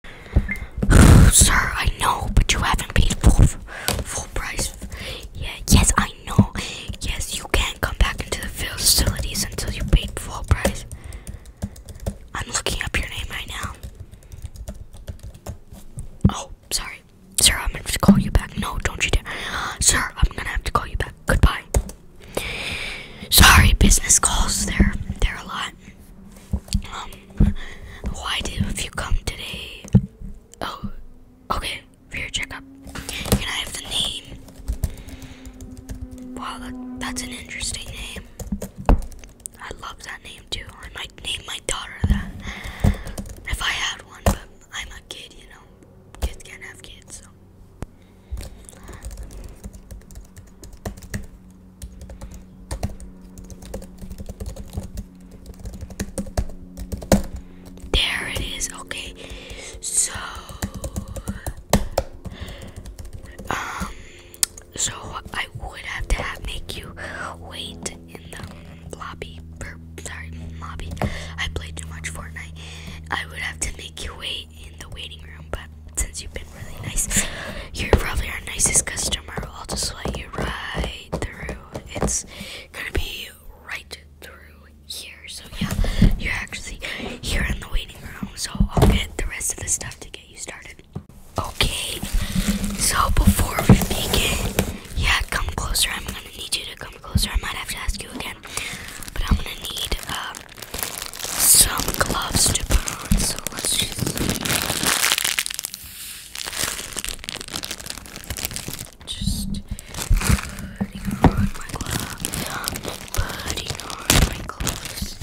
Sir, I know, but you haven't paid full full price yet. Yes, I know. Yes, you can't come back into the facilities until you paid full price. I'm looking up your name right now. Oh, sorry. Sir, I'm gonna have to call you back. No, don't you dare. Sir, I'm gonna have to call you back. Goodbye. Sorry, business calls. They're, they're a lot. Um, why did you come today? Oh, okay, for checkup. Can I have the name? Wow, that's an interesting name. I love that name too. I might name my daughter that if I had one, but I'm a kid, you know. Kids can't have kids, so. There it is. Okay. So um so I would have to make you wait in the lobby sorry lobby. I played too much Fortnite. I would have to make you wait in the waiting room, but since you've been really nice, you're probably our nicest customer. I'll just let you right through. It's gonna be right through here. So yeah, you're actually here in the waiting room. So I'll get the rest of the stuff to get you started. Okay. So before we begin, yeah, come closer. I'm gonna need you to come closer. I might have to ask you again, but I'm gonna need uh, some gloves to put on so let's just putting on my gloves. Putting on my gloves.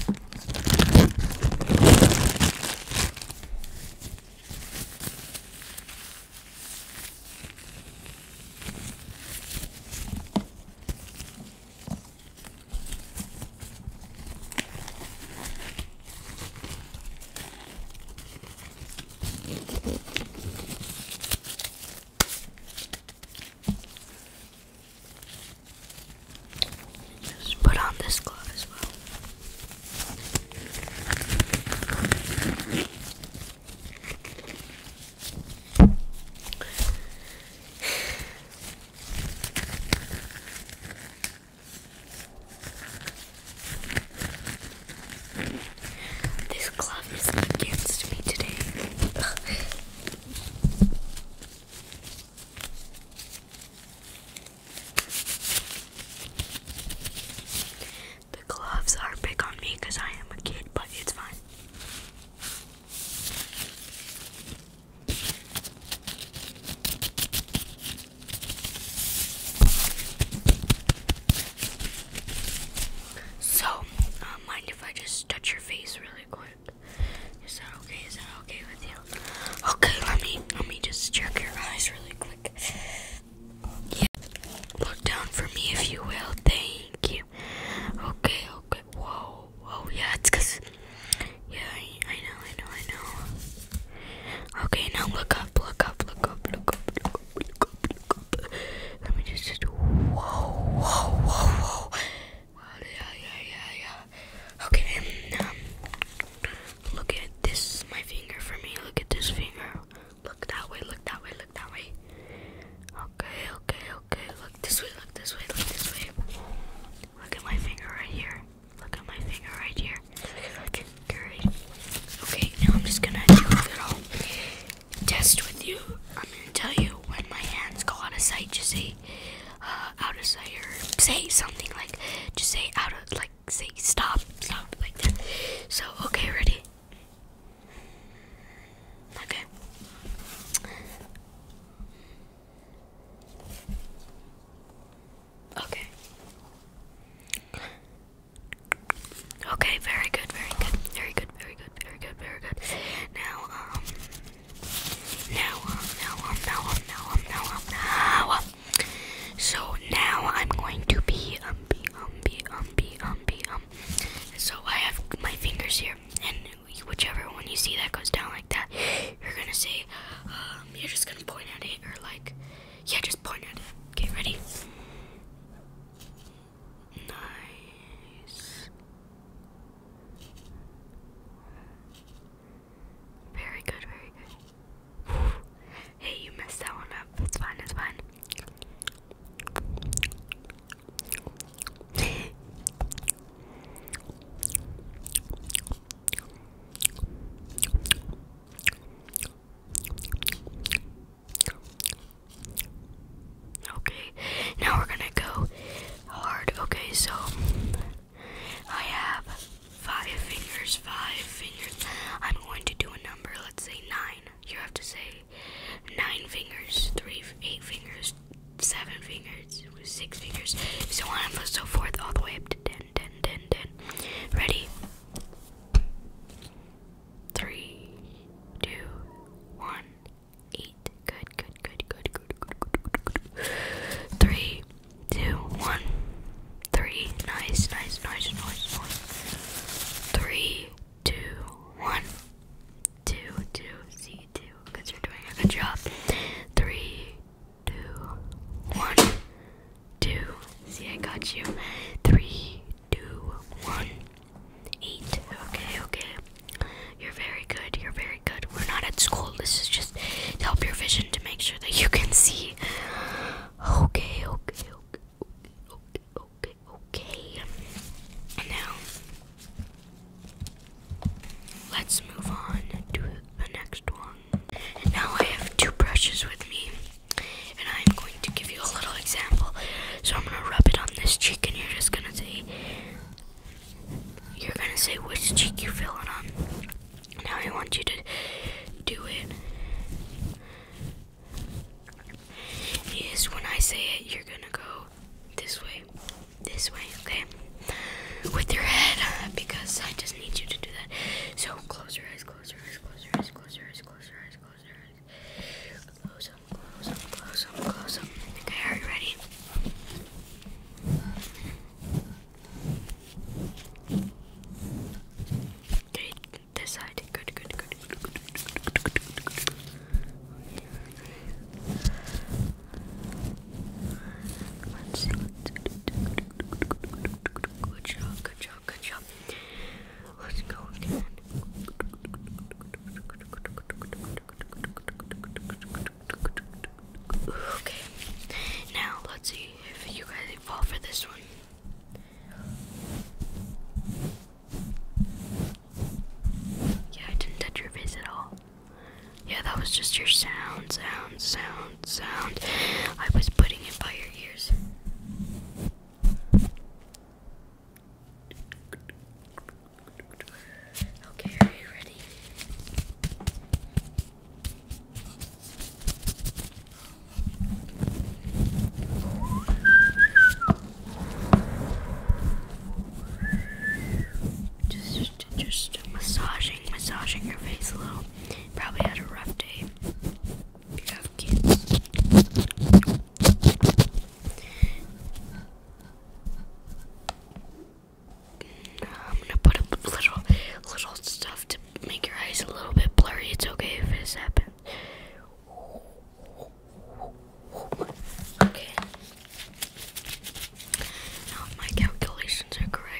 Just put on this glove as well. This glove is against me today. The gloves are big on me because I am a kid, but it's fine. So, uh, mind if I just touch your face really quick? Is that okay? Is that okay with you? Okay, let me let me just check your eyes really quick. Yeah. Look down for me if you will. Thank you. Okay, okay. Whoa. Oh, oh yeah, it's cause yeah, I, I know, I know, I know. Okay, now look up, look up, look up, look up, look up, look up, look up. Let me just, just whoa, whoa, whoa, whoa. Wow, yeah, yeah, yeah, yeah. Okay, and, um, look at this. My finger for me. Look at this finger. Look that way. Look that way. Look that way. Okay, okay, okay. Look this way. Look this way. Look this way. Look at my finger right here. Look at my finger right here. Okay, great. Okay, now I'm just gonna do a little test with you. I'm gonna tell you when my hands go out of sight. Just say uh, out of sight, or say something like just say out of like say stop, stop like that. So okay, ready? Okay. Okay. Okay, very good, very good, very good, very good, very good, very good. Now, um, now, um, now, um, now, um, now, um, now, um, now. Um. So now I'm going to be, um, be, um, be, um, be, um, be, um. So I have my fingers here, and whichever one you see that goes down like that, you're gonna say, uh, um, you're just gonna point at it or like, yeah, just point at it. Okay, ready? Nice. Very good, very good. Hey, you messed that one up. It's fine, it's fine. Okay, now we're gonna go hard. Okay, so I have five fingers, five fingers. I'm going to do a number, let's say nine. You have to say nine fingers, three, eight fingers, seven fingers, six figures, so on and so forth, all the way up to 10, 10, 10, 10. Ready? Three, two, one, eight. Good, good, good, good, good, good, good, good, good. Three, two, one, three. Nice, nice, nice, nice, nice. Three, two, one, two, two. See, two. Because you're doing a good job. Three, two, one, two. See, I got you. Three, two, one, eight. Okay, okay. You're very good. You're very good. We're not at school. This is just to help your vision to make sure that you can see. Okay, okay, okay, okay, okay, okay. now, Let's move on to the next one. And now I have two brushes with me, and I'm going to give you a little example. So I'm gonna rub it on this cheek, and you're just gonna say, you're gonna say which cheek you are feeling on. Now I want you to do it. Is when I say it, you're gonna go this way this way, okay? With your head, because I just need you to do that. So close your eyes, close your eyes, close your eyes, close your eyes, close your eyes, close your eyes. Close them, close them, close them, close them. Okay, are you ready? Okay, this side. Good, good, good, good, good, good, good, good, good, good. Let's Good job, good job, good job. go Okay. Now let's see if you guys fall for this one. Yeah, I didn't touch your face at all. Yeah, that was just your sound, sound, sound, sound. I was putting it by your ears. Okay, are you ready? Just, just massage massaging, your face a little. Probably had a rough day. you have kids. I'm gonna put up little, little stuff to make your eyes a little bit blurry. It's okay if this happens. Okay. Now, if my calculations are correct.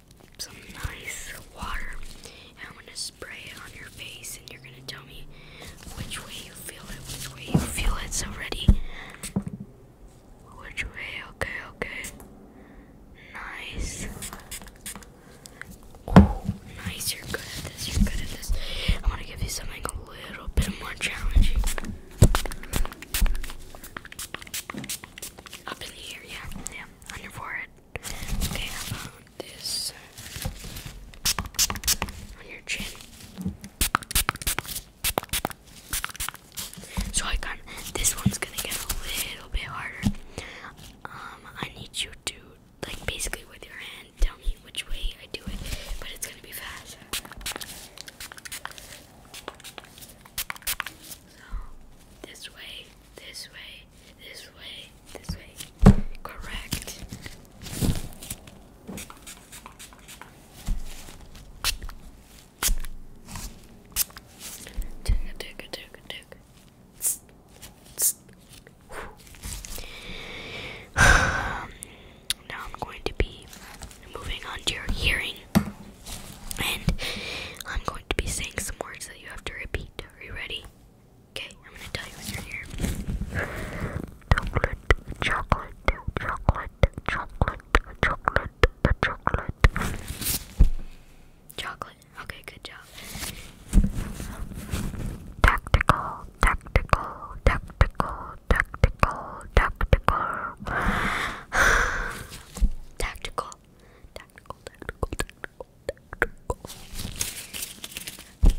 some nice water and I'm gonna spray it on your face and you're gonna tell me which way you feel it, which way you feel it. So ready? Which way? Okay, okay. Nice. Oh, nice. You're good at this. You're good at this. I'm gonna give you something a little bit more challenging. Up in the air, yeah, yeah, on your forehead. Okay, about this on your chin? So I got this one's gonna get a little bit harder. Um, I need you to like basically with your hand tell me which way I do it, but it's gonna be fast. So this way. This way, this way, this way. Correct. now I'm going to be moving on to your hearing, and I'm going to be saying some words that you have to repeat. Are you ready? Okay, I'm gonna tell you what's in here. Chocolate, chocolate, chocolate, chocolate, chocolate, chocolate. Chocolate. Okay, good job. tactical, tactical, tactical, tactical. Tactical. Tactical, tactical, tactical.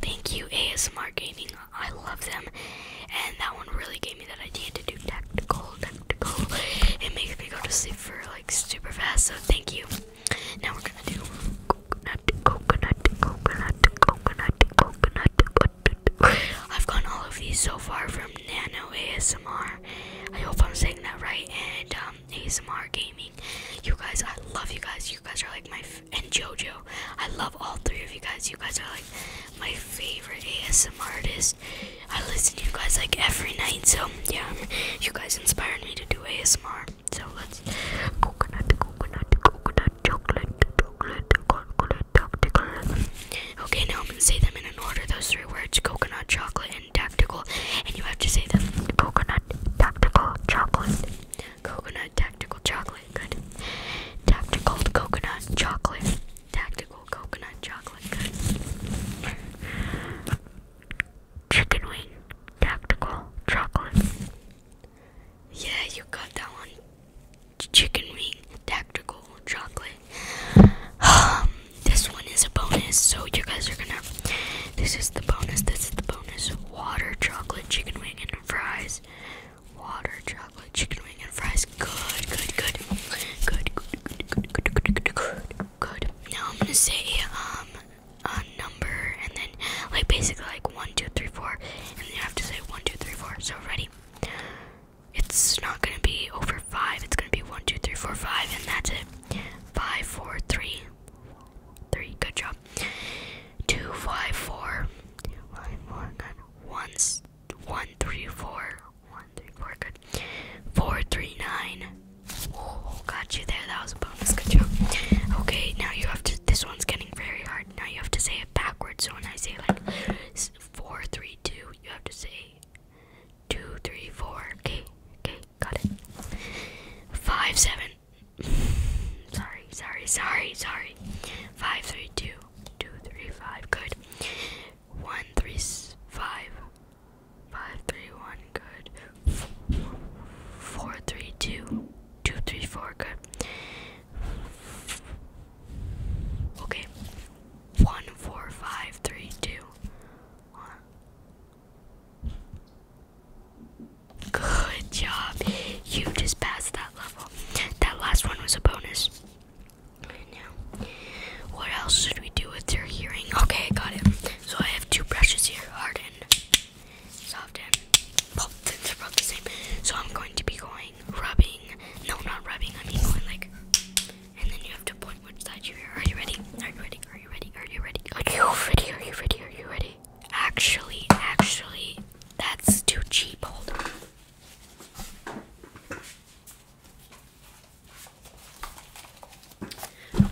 Thank you, ASMR Gaming. I love them. And that one really gave me that idea to do tactical, tactical. It makes me go to sleep for like super fast, so thank you. Now we're gonna do coconut, coconut, coconut, coconut, coconut. coconut. I've gotten all of these so far from Nano ASMR. I hope I'm saying that right. And, um, um, ASMR gaming. You guys, I love you guys. You guys are like my f and JoJo. I love all three of you guys. You guys are like my favorite ASMR artist. I listen to you guys like every night. So yeah, you guys inspired me to do ASMR. So let's coconut, coconut, coconut, chocolate, chocolate, chocolate, chocolate. Okay, now I'm gonna say them in an order. Those three words: coconut, chocolate, tactical, and you have to say the Coconut, tactical, chocolate. Coconut, tactical, chocolate. Good. Tactical, coconut, chocolate. Tactical, coconut, chocolate. Good. Chicken wing, tactical, chocolate. Yeah, you got that one. Chicken wing, tactical, chocolate. Um, this one is a bonus, so you guys are gonna this is the bonus. This is the bonus. Water chocolate chicken wing and fries. Water chocolate chicken wing and fries. Good, good, good, good, good, good, good, good, good, good. good. Now I'm gonna say um a number and then like basically like one, two, three, four, and then you have to say one, two, three, four. So ready? It's not gonna be over five. It's gonna be one, two, three, four, five, and that's it. Five, four, three, three. Good job. Two, five, four. Two, five, four. Good. One, one, three, four. One, three, four. Good. Four, three, nine. Oh, got you there. That was a bonus. Good job. Okay, now you have to. This one's getting very hard. Now you have to say it backwards. So when I say like four, three, two, you have to say two, three, four. Okay, okay. Got it. Five seven. sorry, sorry, sorry, sorry. Five three two two three five. Good. One three five. Five three one. Good. Four three two two three four. Good. Okay. One four five three two. One. Good job. You just passed that level. That last one was a bonus. Now, what else should we do with your hearing? Okay, got it. So I have two brushes here, hard and soft and well, things are both the same. So I'm going to be going rubbing. No, not rubbing. I mean going like, and then you have to point which side you are Are you ready? Are you ready? Are you ready? Are you ready? Are you ready? Are you ready? Are you ready? Actually, actually, that's too cheap. Hold on.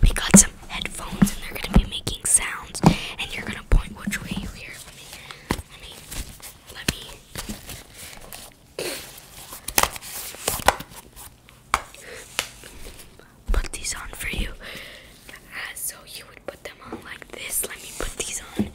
We got some headphones and they're gonna be making sounds and you're gonna point which way you hear. Let me let me let me put these on for you. Uh, so you would put them on like this. Let me put these on.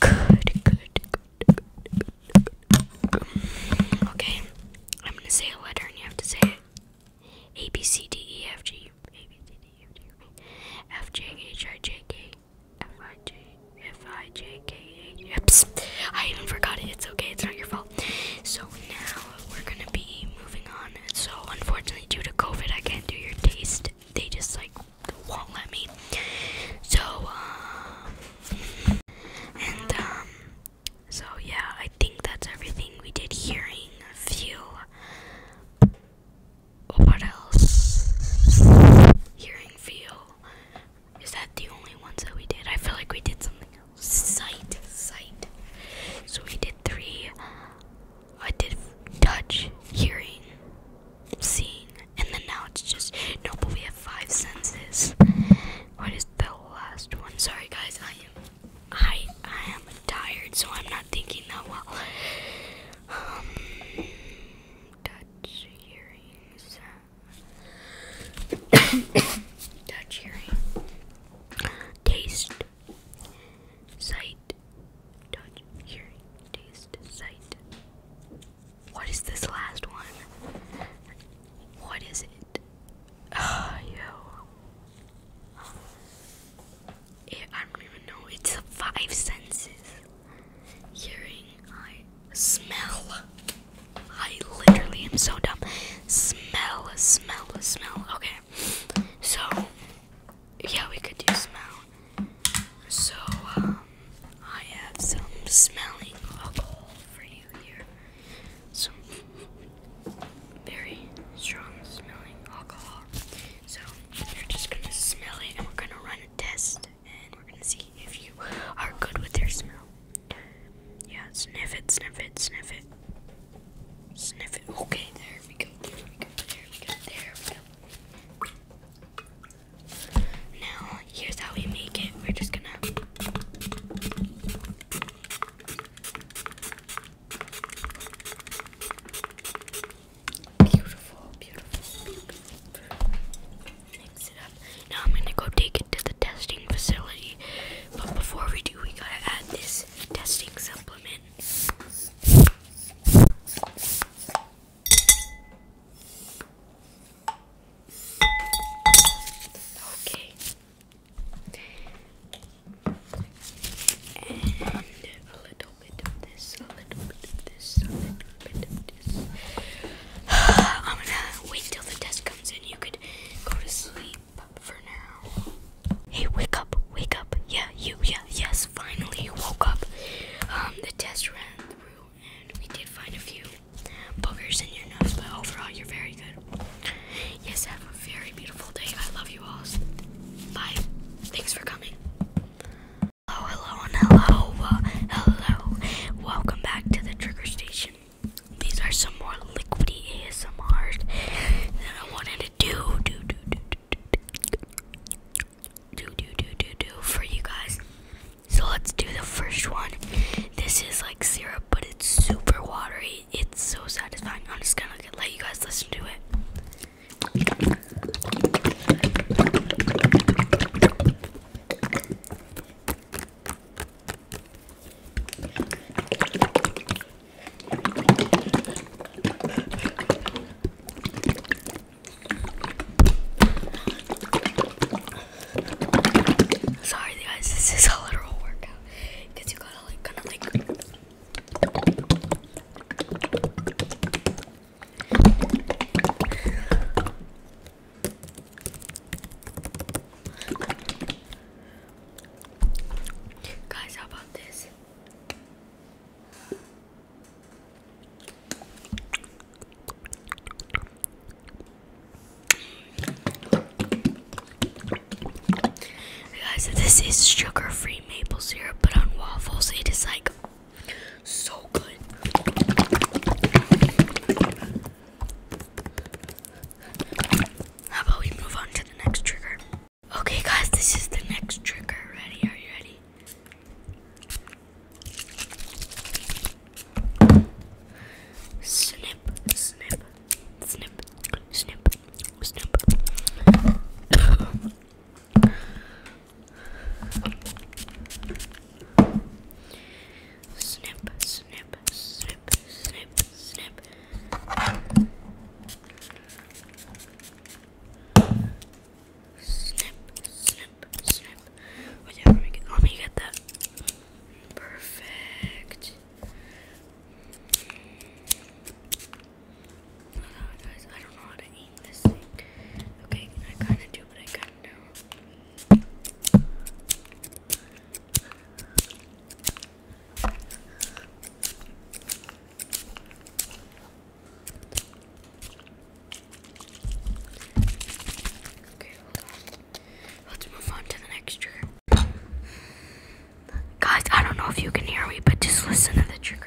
Good, good, good, Okay, I'm gonna say a letter and you have to say it. A B C D E F G A B C D E F G F J H I J K F-I-J-K-H. I even forgot it. It's okay. It's not your fault. So now we're going to be moving on. So unfortunately, due to COVID, I can't do your taste. They just like won't let me. So, um, and, um, so yeah, I think that's everything we did here in a few what else? Hearing feel. Is that the only ones that we did? I feel like we did something else. Sight, sight. So we did three. I did touch, hearing, seeing, and then now it's just no. But we have five senses. What is the last one? Sorry, guys. I am, I, I am tired, so I'm not thinking that well. Um, touch earrings. touch earring. Taste. Sight. Touch hearing. Taste. Sight. What is this last one? What is it? Oh, yo. I don't even know. It's the five senses: hearing, I smell. I literally am so dumb. Smell, smell, smell. Okay, so yeah, we could do smell. So um, I have some smelling alcohol for you here. Some very strong smelling alcohol. So you're just gonna smell it, and we're gonna run a test and we're gonna see if you are good with your smell. Yeah, sniff it, sniff it, sniff it. Sniff it. Okay, there we go, there we go, there we go, there we go. Now, here's how we make it. We're just gonna. Beautiful, beautiful, beautiful. Mix it up. Now I'm gonna go take it to the testing facility. But before we do, we gotta add this testing supplement. Okay. And a little I'm gonna wait till the test comes in. You could go to sleep for now. Hey, wake up, wake up. Yeah, you, yeah, yes, finally you woke up. Um, the test ran through and we did find a few boogers in your nose, but overall you're very good. Yes, have a very beautiful day. I love you all. Bye. Thanks for coming. Hello, hello, and hello, hello. Welcome back to the Trigger Station. These are some more liquidy ASMRs that I wanted to do, do, do, do, do, do, do, do, do, do for you guys. So let's do the first one. This is like syrup, but it's super watery. It's so satisfying. I'm just gonna let you guys listen to it. Sorry guys, this is a literal workout. Cause you gotta like kinda like Guys, how about this? Guys, this is sugar-free maple syrup, but on waffles it is like so good. How about we move on to the next trigger? Okay, guys, this is the next trigger. Ready? Are you ready? Snip, snip, snip, snip, snip. Snip, snip, snip, snip, snip. Snip, snip, snip. Whatever oh, we get. Let me get that. Perfect. Oh, guys, I don't know how to aim this thing. Okay, I kinda do, but I kinda don't. Okay, hold on. Let's move on to the next trigger. Guys, I don't know if you can hear me, but just listen to the trigger.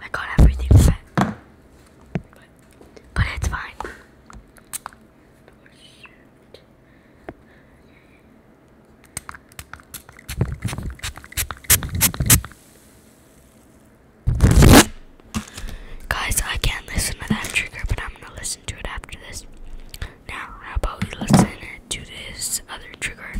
I got everything wet, but, but it's fine. Guys, I can't listen to that trigger, but I'm gonna listen to it after this. Now, how about we listen to this other trigger?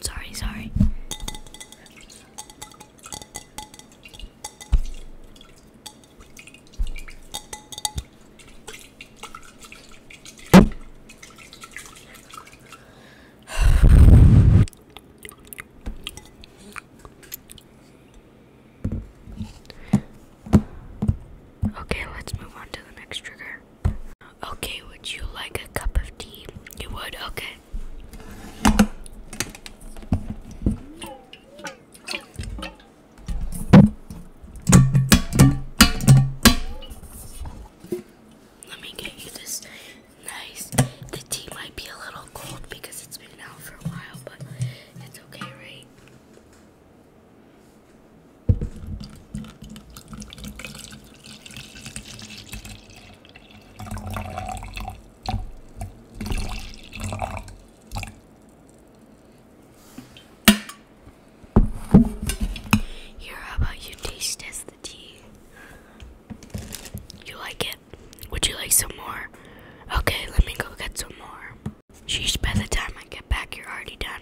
Sorry, sorry. Okay, let's move on to the next trigger. Okay, would you like a cup of tea? You would? Okay. Let me get you this nice. The tea might be a little cold because it's been out for a while, but it's okay, right? Here, how about you taste test the tea? You like it? Would you like some more? Okay, let me go get some more. Sheesh, by the time I get back, you're already done.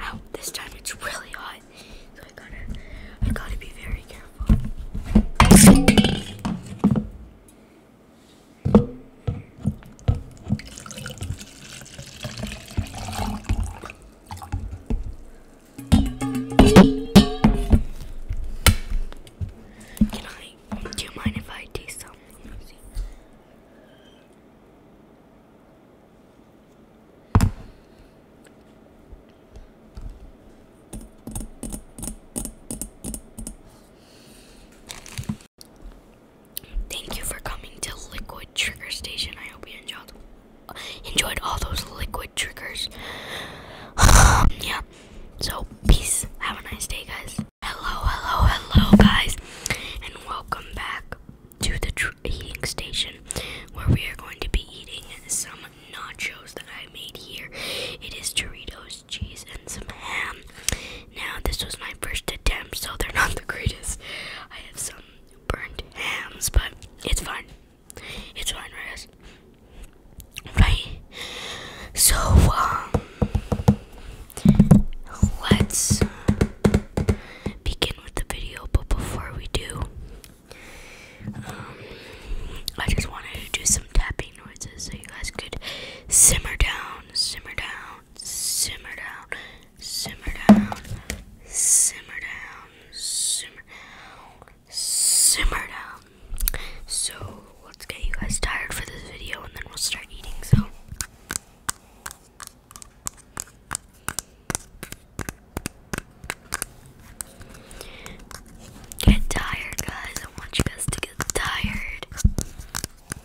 Oh, this time it's really hot. So I gotta, I gotta be very careful. Can I? Do you mind if I taste some? Thank you for coming to Liquid Trigger Station. I hope you enjoyed enjoyed all those liquid triggers. yeah. So peace. Have a nice day, guys. Hello, hello, hello, guys, and welcome back to the eating station, where we are going to be eating some nachos that I made here. It is Doritos, cheese, and some ham. Now, this was my first attempt, so they're not the greatest. I have some burnt hams, but it's fine. It's fine, right? Right. So, um, let's begin with the video. But before we do, um, I just wanted to do some tapping noises so you guys could simmer down, simmer down simmer down, simmer down, simmer down, simmer down, simmer down. So let's get you guys tired for this video and then we'll start eating. So Get tired, guys. I want you guys to get tired.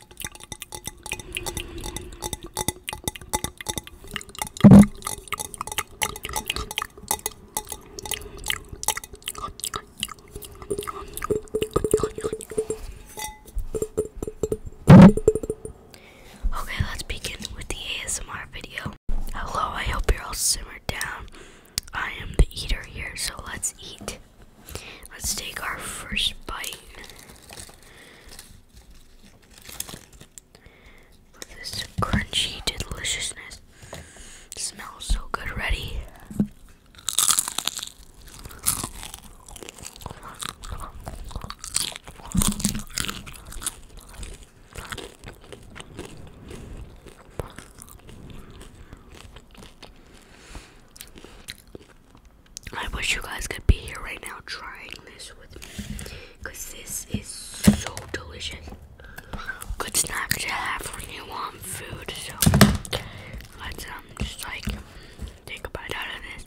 Okay, let's begin with the ASMR video. Hello, I hope you're all simmered down. I am the eater here, so let's eat. Let's take our first bite. This crunchy deliciousness smells so good already. I wish you guys could be here right now trying this with me. Because this is so delicious. Good snack to have when you want food. So let's um just like take a bite out of this.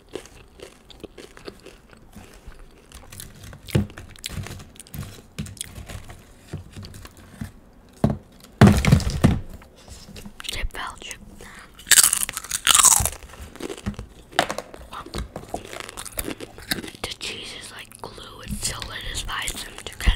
It felt you. The cheese is like glue, and it solidifies them together.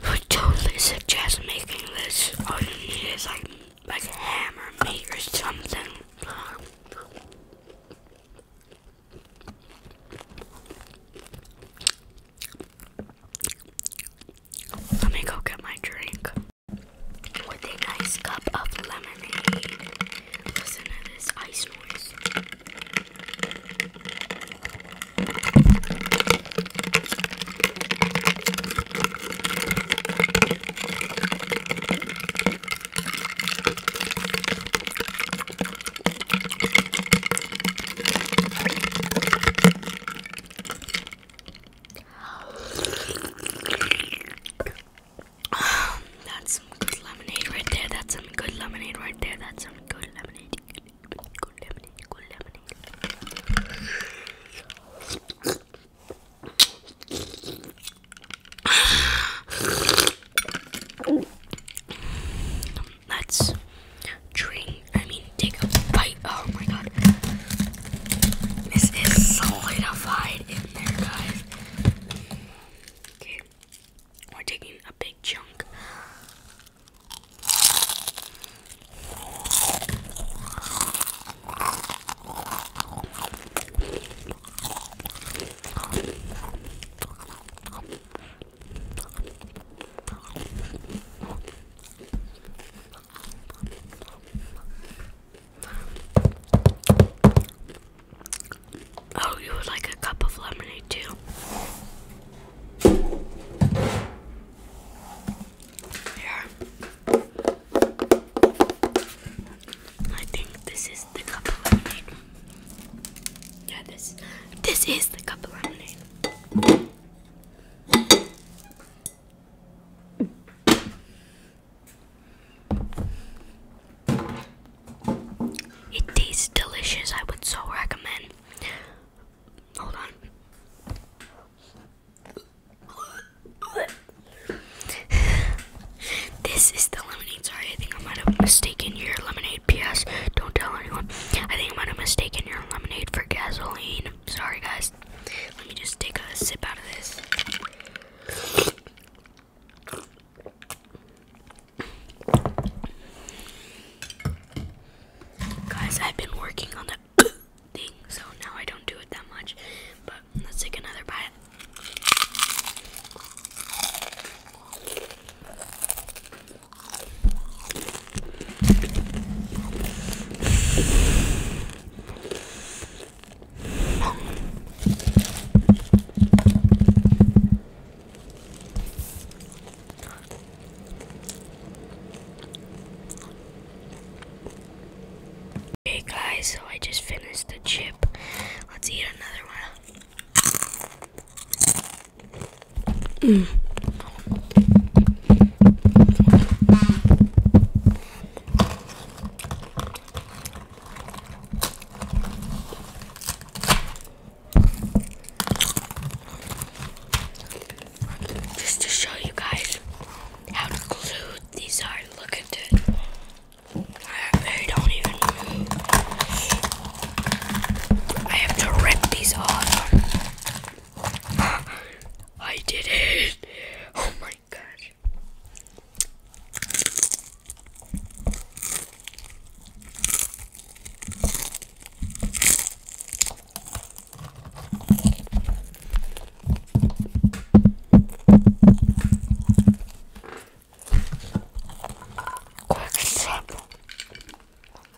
I totally suggest making this. All you need is like like hammer meat or something. Let me go get my drink with a nice cup of lemonade. Listen to this ice noise. That's some good lemonade right there. That's some good lemonade right there. That's some good lemonade. Good lemonade. Good lemonade. Let's drink I mean, take a bite. Oh my god. This is solidified in there, guys. Okay. We're taking a big chunk. Oh, you would like a cup of lemonade too? Here. I think this is the cup of lemonade. Yeah, this this is the cup of lemonade. It tastes delicious. I would so recommend. Hold on. this is the lemonade. Sorry, I think I might have mistaken your lemonade. P.S. Don't tell anyone. I think I might have mistaken your lemonade for gasoline. Sorry, guys. Let me just take a sip out of this. Guys, I've been working on the thing, so now I don't do it that much. But let's take another bite. Okay guys, so I just finished the chip. Let's eat another one. Just to show you guys how glued these are. Look at it. They don't even move. I have to rip these off. I did it! Oh my gosh. Quick and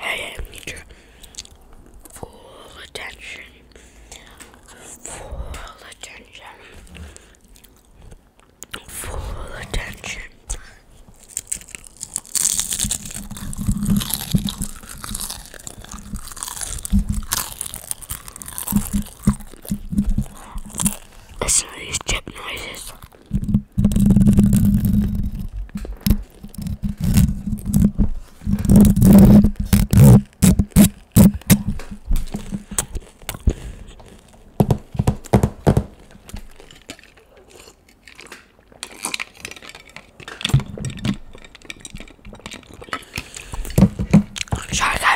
I need full attention. Full attention. Full attention. Listen to these chip noises. Şarkı.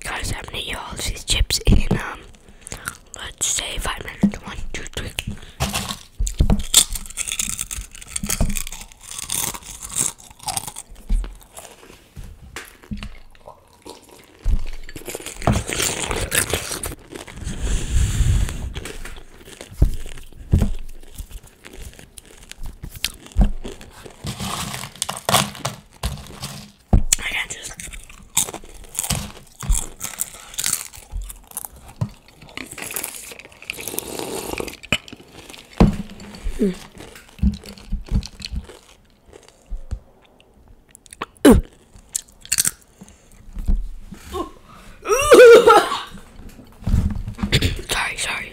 Guys, I'm gonna eat all these chips in um Let's save five minutes. One, two, three. I can't just. sorry, sorry.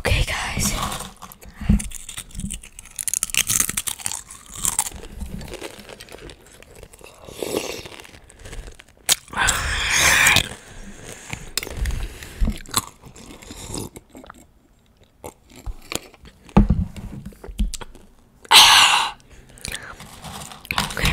Okay, guys. Okay.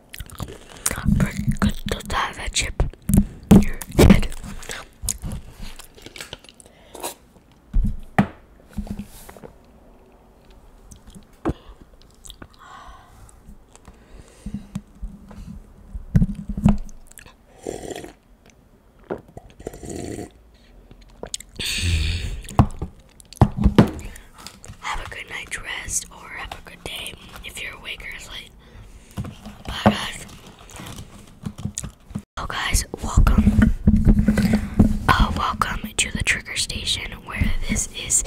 I'm Because to dive a chip in your head have a good night's rest or have a good day if you're awake or asleep. Bye, guys. Oh, guys, welcome. Uh, welcome to the trigger station where this is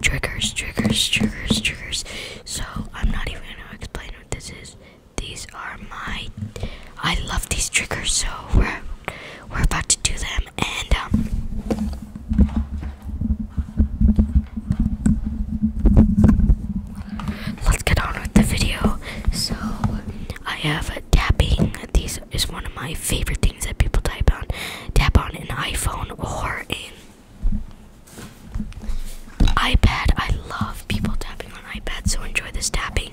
triggers, triggers, triggers, triggers. So, I'm not even gonna explain what this is. These are my. I love these triggers, so we're, we're about to do them. And, um, Let's get on with the video. So, I have a tapping. This is one of my favorite things that people type on. Tap on an iPhone or an iPad. I love people tapping on iPads, so enjoy this tapping.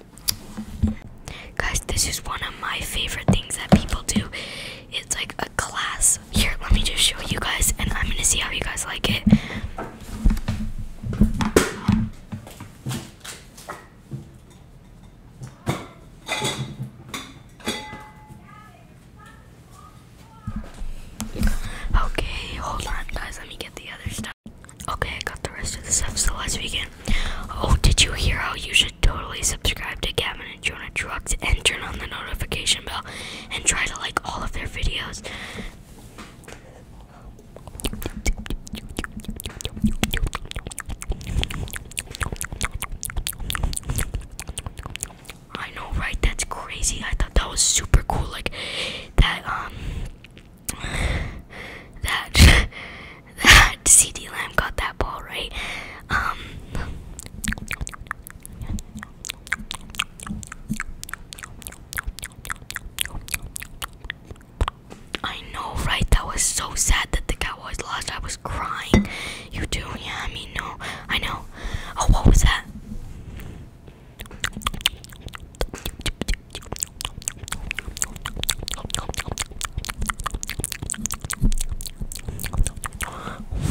Guys, this is one of my favorite things that people do. It's like a class. Here, let me just show you guys, and I'm gonna see how you guys like it. Okay, hold on, guys. Let me get the other stuff. Okay, I got the rest of the stuff, so let's begin. Oh, did you hear how you should totally subscribe to Gavin and Jonah Trucks and turn on the notification bell and try to like all of their videos? I know, right? That's crazy. I thought that was super cool. Like that, um, that that CD Lamb got that ball right. Um, I know, right? That was so sad that the Cowboys lost. I was crying. You do? Yeah, I no. I know. Oh, what was that?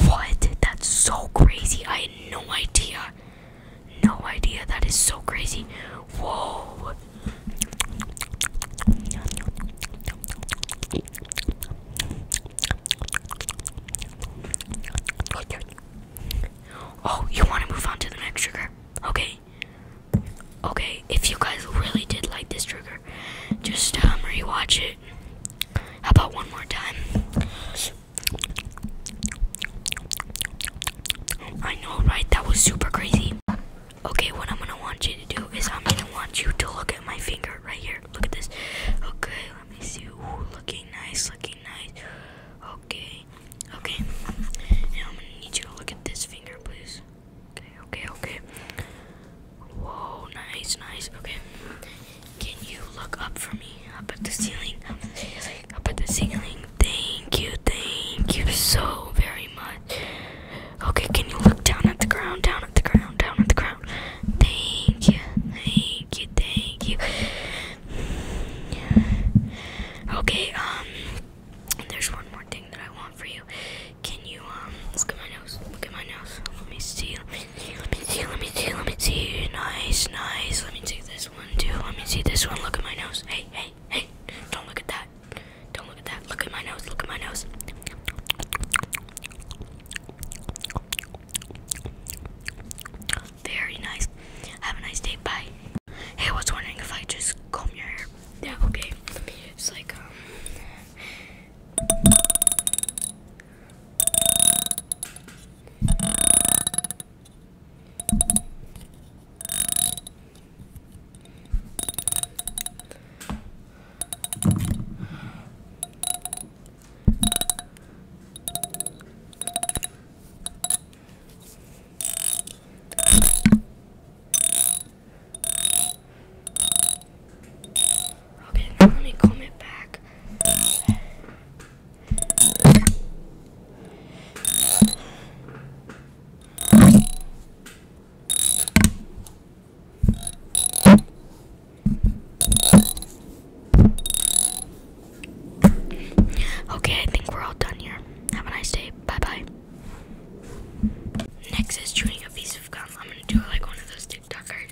What? That's so crazy. I had no idea. No idea. That is so crazy. Whoa. Oh, you want to move on to the next trigger? Okay, Okay, if you guys really did like this trigger, just um, rewatch it. How about one more time? I know, right? That was super crazy. Okay, what I'm gonna want you to do is I'm gonna want you to look at my finger right here. Look at this. Okay, let me see. looking nice, looking nice. Okay, Okay. I'm gonna need you to look at this finger, please. Okay, okay, okay. Whoa, nice, nice. Okay. Can you look up for me? Up at the ceiling. Up at the ceiling. Thank you, thank you so very much. Okay, can you look down at the ground? Down at the ground, down at the ground. Thank you, thank you, thank you. Okay, um and there's one more thing that I want for you. Can you um look at my nose? Look at my nose. Let me see. Let me see. Let me see. Let me see. Nice, nice. Let me see this one too. Let me see this one. Look at my nose. Hey, hey, hey. Don't look at that. Don't look at that. Look at my nose. Look at my nose. Very nice. Have a nice day. Bye. Hey, was wondering if I just comb your hair yeah, okay. It's like, um, Okay, let me comment back. Okay, I think we're all done here. Have a nice day. Bye bye. Next is chewing a piece of gum. I'm gonna do it like one of those TikTokers.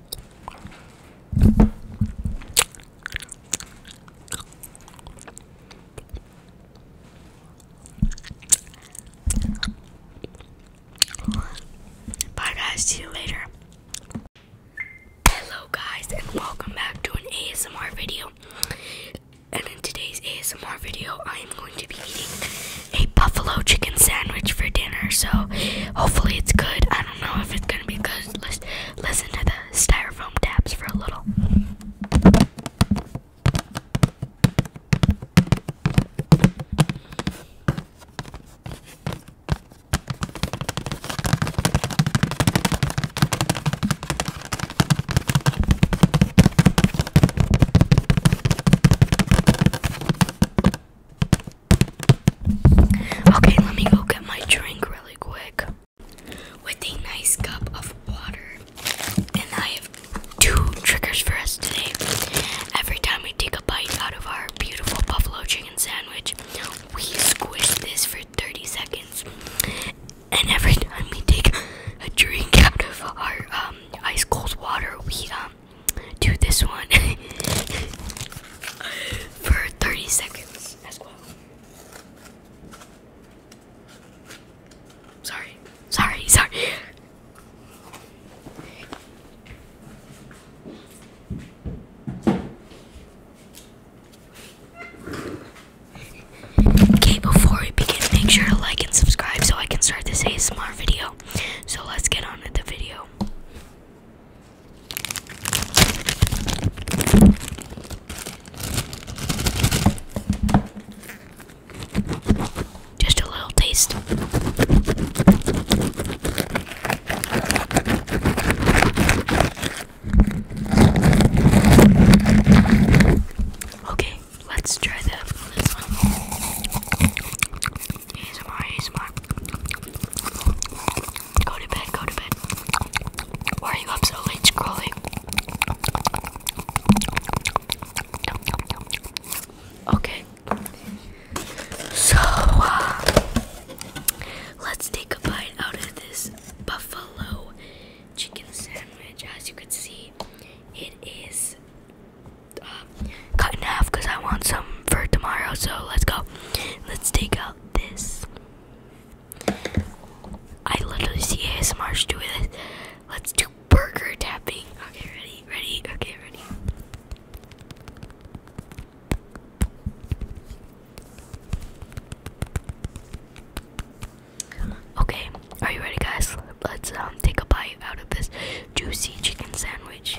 Bye guys, see you later. Hello guys and welcome back to an ASMR video. And in today's ASMR video, I am going to be eating a buffalo chicken sandwich for dinner. So hopefully it's good. I don't know if it's gonna be good. Let's listen to the styrofoam taps for a little. Okay, let me go get my drink really quick. With a nice cup of water. And I have two triggers for us today. Every time we take a bite out of our beautiful buffalo chicken sandwich, we squish this for 30 seconds. And every time we take a drink out of our um, ice cold water, we um, do this one for 30 seconds as well. Sorry, sorry, sorry. Okay, before we begin, make sure to like and subscribe so I can start this ASMR video. So let's get on with the video. Just a little taste. Okay, let's try that. He's smart. He's smart. Go to bed, go to bed. Why are you up so late scrolling? Okay. So, uh, let's take a bite out of this buffalo chicken sandwich. As you can see, it is cut in half because I want some for tomorrow. So let's go. Let's take out this. I literally see ASMRs doing this. Let's do burger tapping. Okay, ready, ready, okay, ready. Okay, are you ready, guys? Let's um, take a bite out of this juicy chicken sandwich.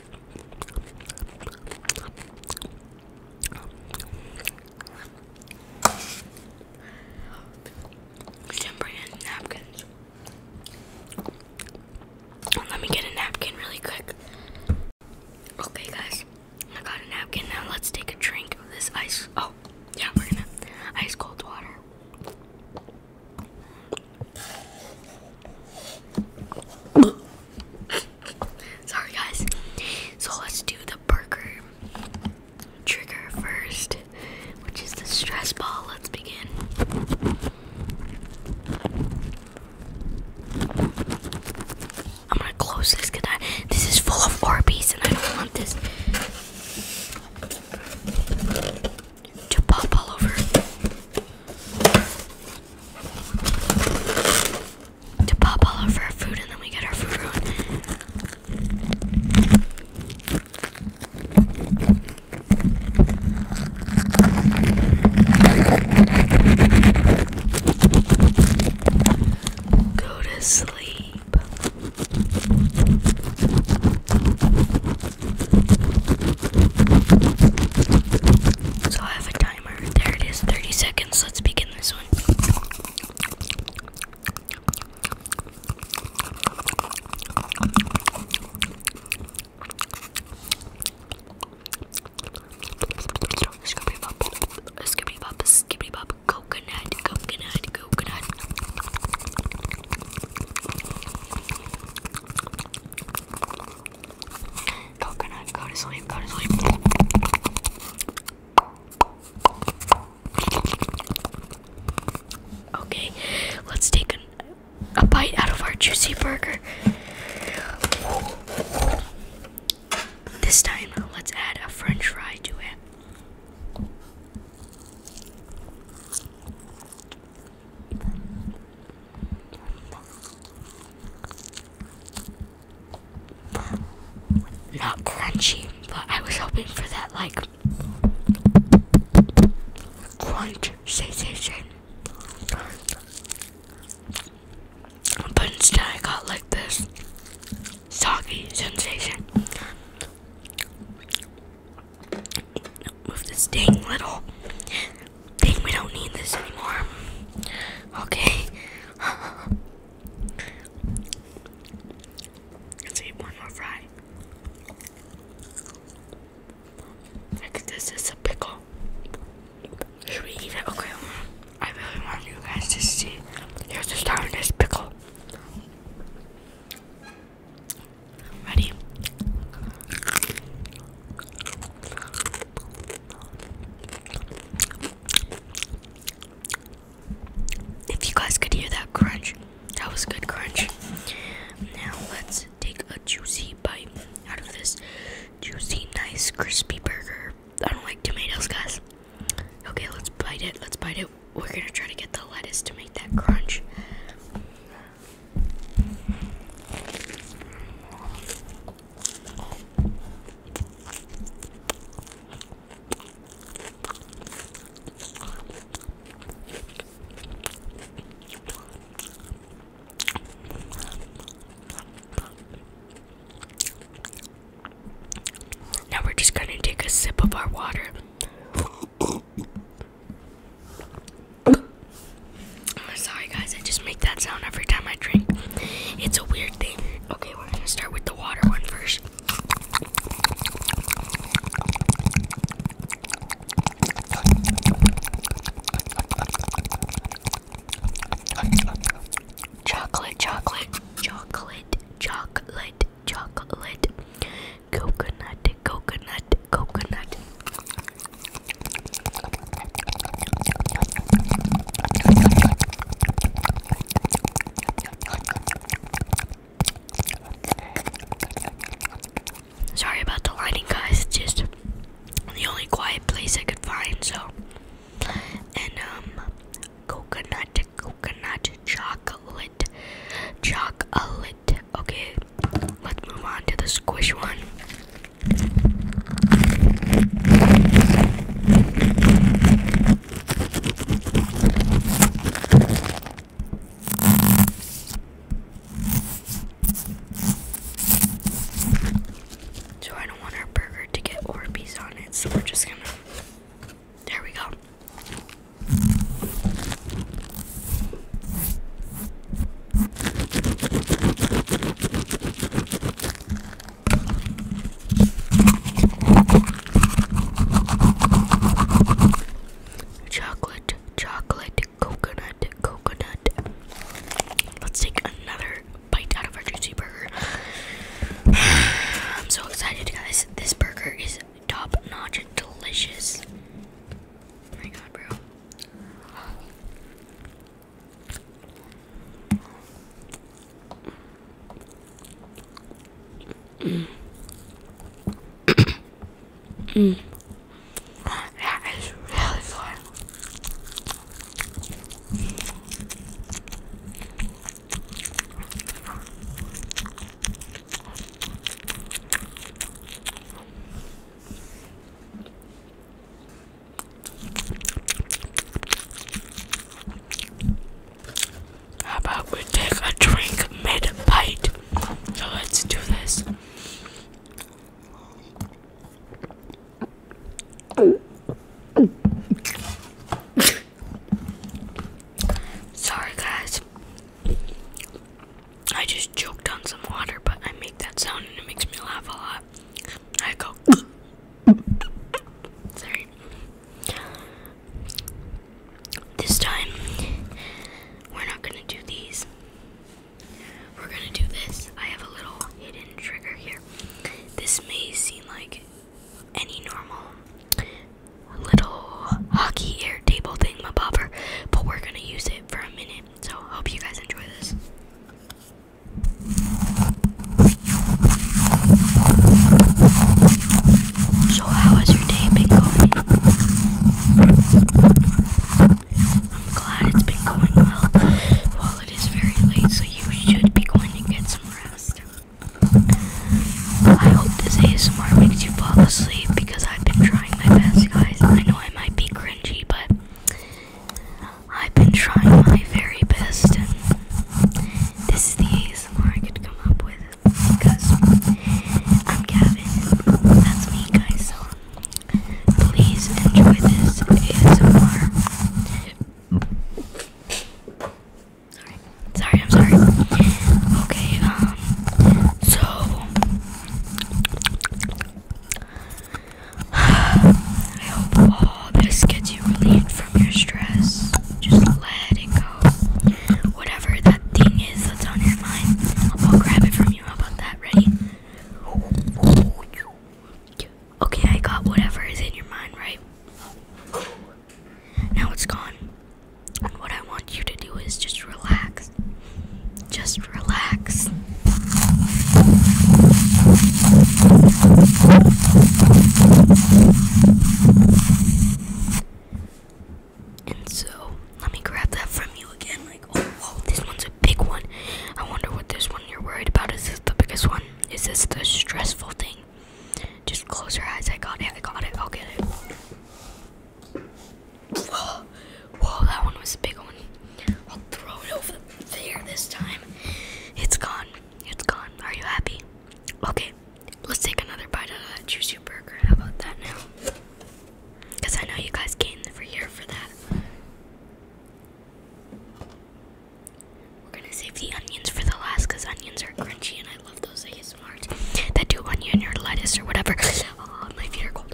We napkins. Let me get a napkin really quick. Okay, guys, I got a napkin. Now let's take a drink of this ice. Oh, yeah, we're gonna ice cold water. Sorry, guys. So let's do the burger trigger first, which is the stress ball. Let's begin. I'm gonna close this because this is full of Orbeez and I don't want this to pop all over to pop all over our food and then we get our food ruined. Go to sleep. So I have a timer. There it is, 30 seconds. Let's begin this one. Skippy bop, skippy bop, skippy bop, coconut, coconut, coconut. Coconut, go to sleep, go to sleep. Okay, let's take a bite out of our juicy burger. This time, let's add a french fry to it. Not crunchy, but I was hoping for that like crunch sensation. But instead, I got like this soggy sensation. Move this dang little think we don't need this anymore. Okay. Let's eat one more fry. I this is a pickle. Should we eat it? Okay. I really want you guys to see. Here's the star of this pickle. Ready? If you guys could hear that crunch, that was good crunch. Now let's take a juicy bite out of this juicy, nice, crispy burger. I don't like tomatoes, guys. Okay, let's bite it. Let's bite it. We're gonna try to get the lettuce to make that crunch. Now we're just gonna take a sip of our water. Sorry, guys, I just make that sound every time I drink. It's a weird thing. Okay, we're gonna start with the water one first. Chocolate, chocolate, chocolate, chocolate, chocolate, coconut, coconut, coconut. Sorry about the lighting, guys. It's just the only quiet place I could find, so. And, um, coconut, coconut, chocolate, chocolate. Okay, let's move on to the squish one. So I don't want our burger to get Orbeez on it, so we're just gonna. There we go. Chocolate, chocolate, coconut, coconut. Let's take another bite out of our juicy burger. I'm so excited, guys. This burger is top notch delicious. Oh my god, bro mm. That is really fun. How about we take a drink mid bite? let's do this. Sorry, guys. I just choked on some water, but I make that sound and it makes me laugh a lot. I go. Sorry. This time, we're not gonna do these. We're gonna do this. I have a little hidden trigger here. This may seem like any normal little hockey air table thing, my bobber, but we're gonna use it for a minute so, hope you guys enjoy this. So, how has your day been going? I'm glad it's been going well. Well, it is very late, so you should be going to get some rest. I hope this ASMR makes you fall asleep because I've been trying my best, guys. I know I might be cringy, but I've been trying my very best, and this is the ASMR I could come up with because I'm Gavin. That's me, guys. So please enjoy this ASMR. Sorry, sorry, I'm sorry. Okay, um, so I hope all this gets you relieved from your stress. Just let it go. Whatever that thing is that's on your mind, I'll grab it from you. How about that? Ready? Okay, I got whatever is in your mind, right? Now it's gone. And what I want you to do is just relax. Just relax. And so, let me grab that from you again. Like, oh, whoa, this one's a big one. I wonder what this one you're worried about. Is this the biggest one? Is this the stressful thing? Just close your eyes. I got it. I got it. I'll get it. Whoa, that one was a big one. I'll throw it over there this time. It's gone. It's gone. Are you happy? Okay, let's take another bite out of that juicy burger. How about that now? Because I know you guys came over here for that. We're gonna save the onions for the last because onions are crunchy and I love those ASMRs that do onion or lettuce or whatever. Oh, my feet are cold.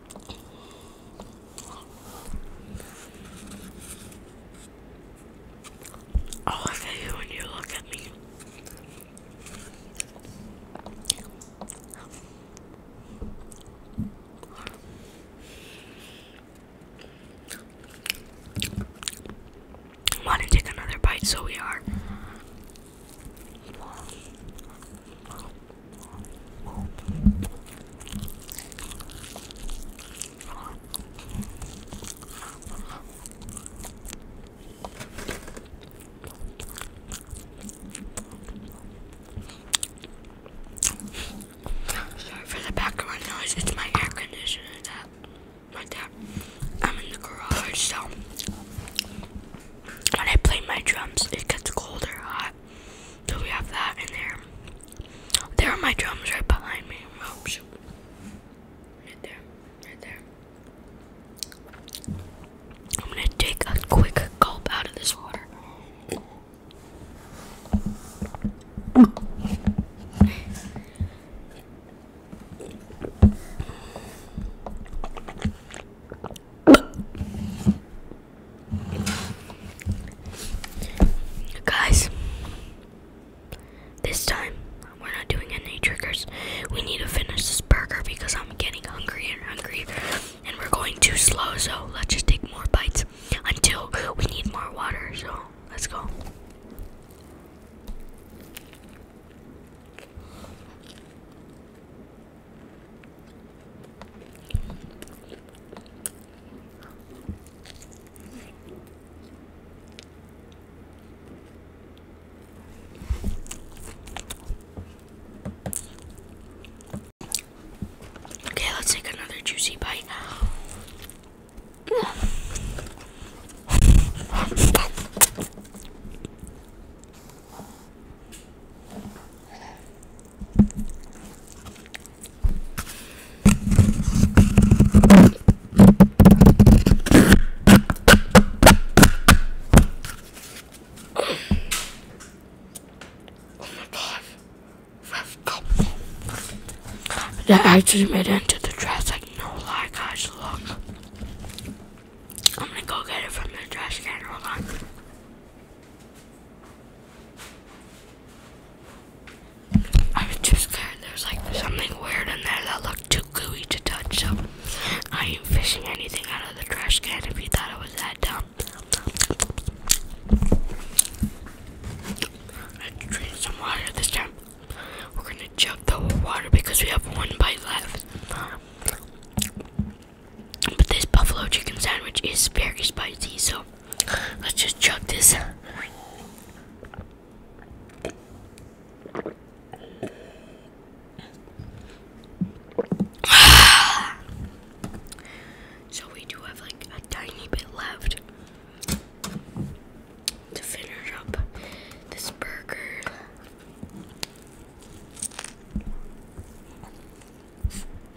Oh, I'll look at you and you look at me. Want to take another bite? So we are. Sorry for the background noise, it's my air conditioner that my dad I'm in the garage so when I play my drums it gets colder hot so we have that in there. There are my drums right behind me. Oh, right there. Right there. I'm gonna take a quick gulp out of this water. Guys, this time we're not doing any triggers. We need to finish this burger because I'm getting hungry and hungry, and we're going too slow. So let's just take more bites until we need more water. So let's go. Okay, let's take another juicy bite. Oh my God! That actually made it into the dress. Like, no lie, guys. Look. I'm gonna go get it from the trash can. Hold on. I was too scared. There's like something weird in there that looked too gooey to touch. So I ain't fishing anything out of the trash can. If you thought it was that dumb, I drink some water this time. We're gonna jump the water because we have one bite left. But this buffalo chicken sandwich is very spicy, so Let's just chug this. so we do have like a tiny bit left to finish up this burger.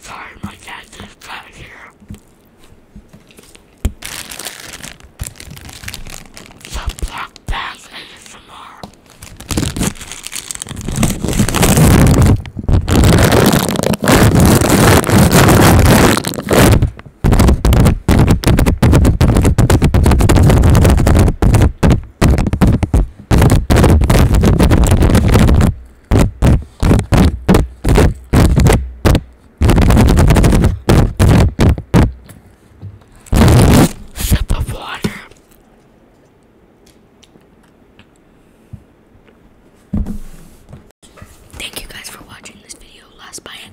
Sorry, my cat is back here. So black bags and some more. Sip of water. Thank you guys for watching this video. Last bite.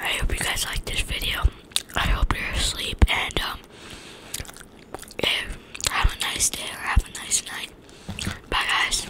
I hope you guys liked this video. I hope you're asleep and um have a nice day or have a nice night. Bye guys.